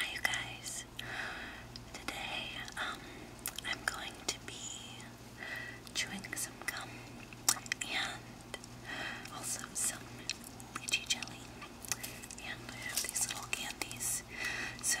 Hi guys. Today um I'm going to be chewing some gum and also some lychee jelly and I have these little candies. So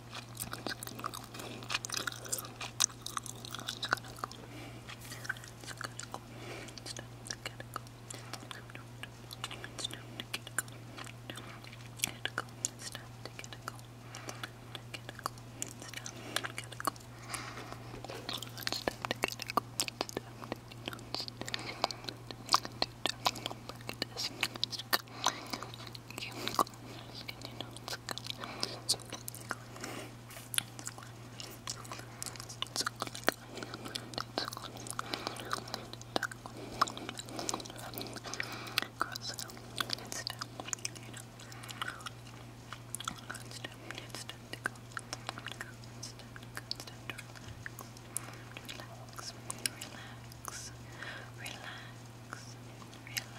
It's time to Okay, let's continue. Let's go. Let's go. Let's go. Cross it It's down. You know. It's down. It's down to go. It's down to go. It's down to relax. Relax. Relax. Relax. Relax.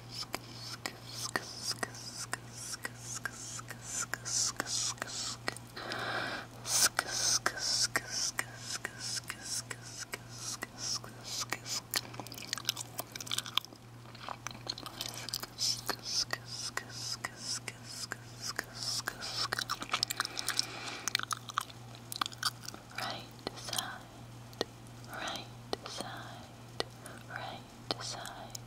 Right side side, right side, right side,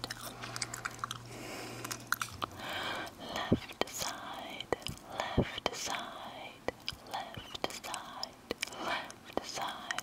left side, left side, left side, left side.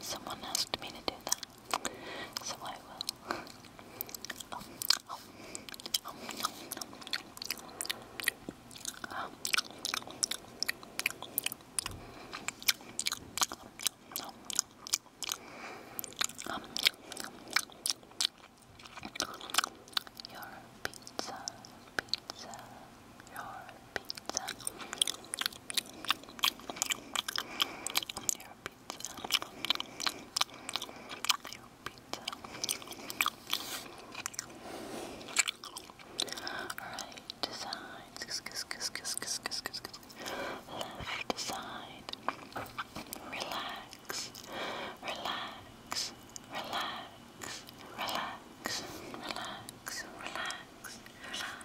Someone asked me to do that, so I will. your pizza, pizza, your pizza. Your pizza. Your pizza. Right side. Left side. Relax. Relax. Relax. Relax. Relax. Relax. Relax.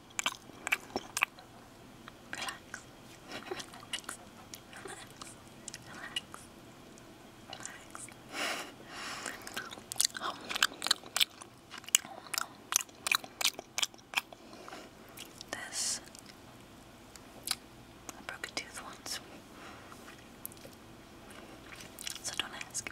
Relax. Relax. Relax. Relax. this I broke a tooth once. So don't ask.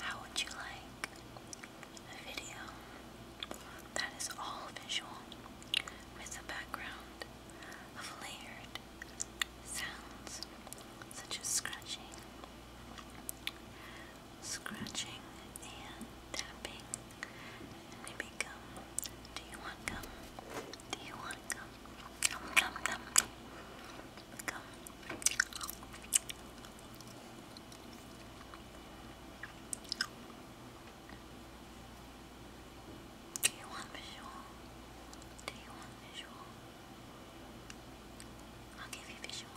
How would you like a video that is all visual with a background of layered sounds such as scratching, scratching, and tapping, gum? Do you want gum? Do you want gum? Nom nom Gum. Do you want visual? Do you want visual? I'll give you visual.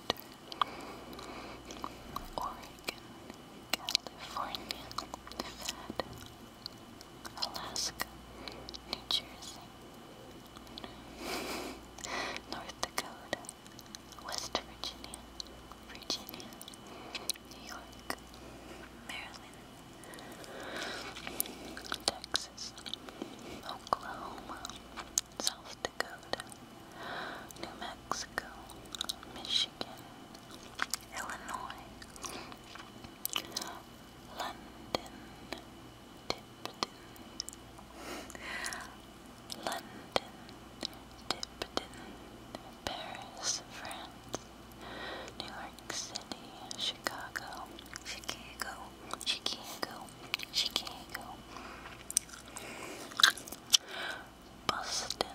Oregon, California, Nevada, Alaska, New Jersey, North Dakota, West Virginia, Virginia, New York, Maryland, Texas, Oklahoma, South North Dakota, New Mexico, Michigan, Illinois, London, Tipton, London, Tipton, Paris, France, New York City, Chicago, Chicago, Chicago, Chicago. Boston,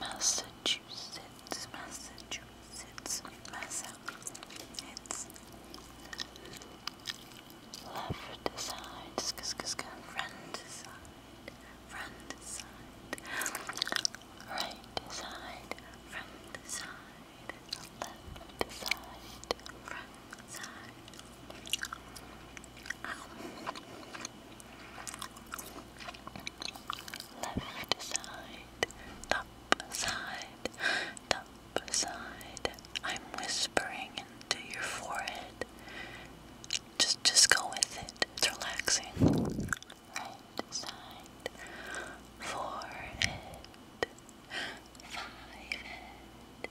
Massachusetts, Massachusetts, Massachusetts. Left side, front side, front side, right side, front side, left side, front side. Left side, up side, top side. I'm whispering into your forehead. Just just go with it. relaxing. Right side, forehead, five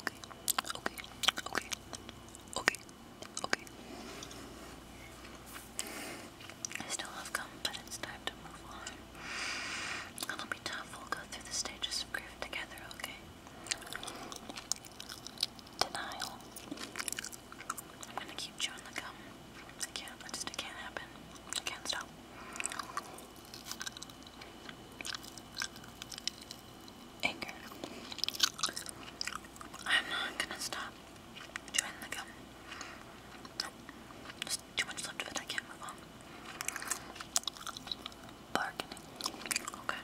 okay, okay, okay, okay, okay. I still have gum, but it's time to move on. It'll be tough. We'll go through the stages of grief together, okay? Denial. I'm gonna keep chewing the gum. I can't, I just, it can't happen. I can't stop anger. I'm not gonna stop chewing the gum. Nope. too much left of it, I can't move on. Bargaining. Okay.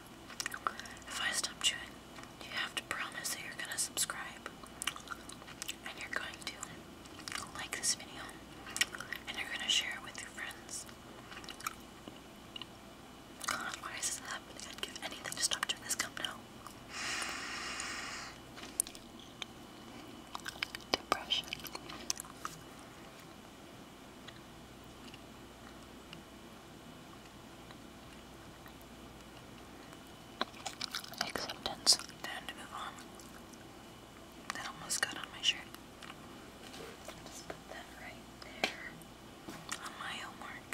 If I stop chewing, you have to promise that you're gonna subscribe. And you're going to like this video. And you're gonna share it with your friends why is this happening? I'd give anything to stop doing this. Come now. Depression. Acceptance. Time to move on. That almost got on my shirt. I'll just put that right there on my homework.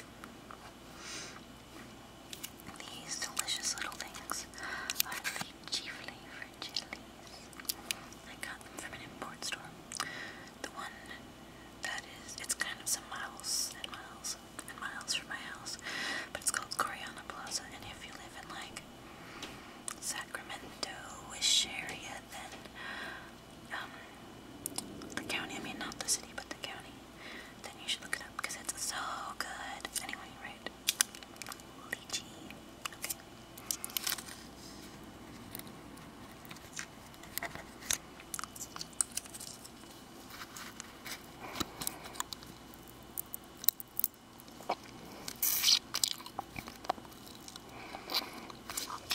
These delicious little things are lychee flavored jellies. I got them from an import store. The one that is, it's kind of some miles and miles and miles from my house, but it's called Coriana Plaza. And if you live in like Sacramento-ish area, then um, the county, I mean not the city, but the county, then you should look it up because it's so good. Anyway, right? Lychee.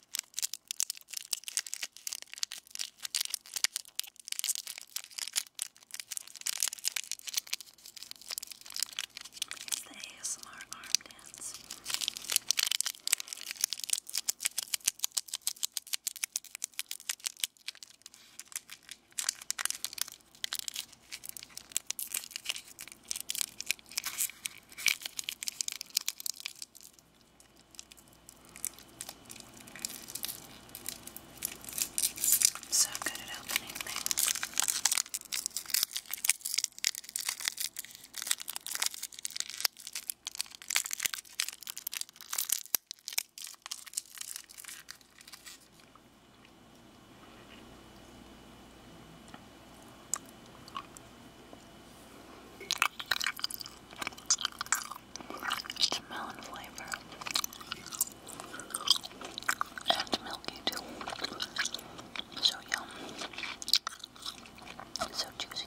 It's the ASMR arm dance. I'm so good at opening things. It's melon flavor. And it's milky too. So yum. so juicy.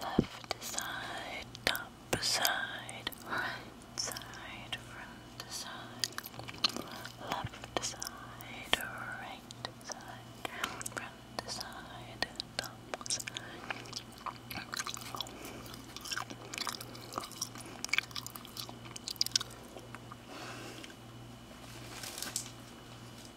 left side, top side, right side, front side, left side, right side, front side, top side. Good.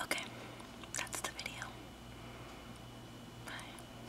Okay, that's the video. Bye.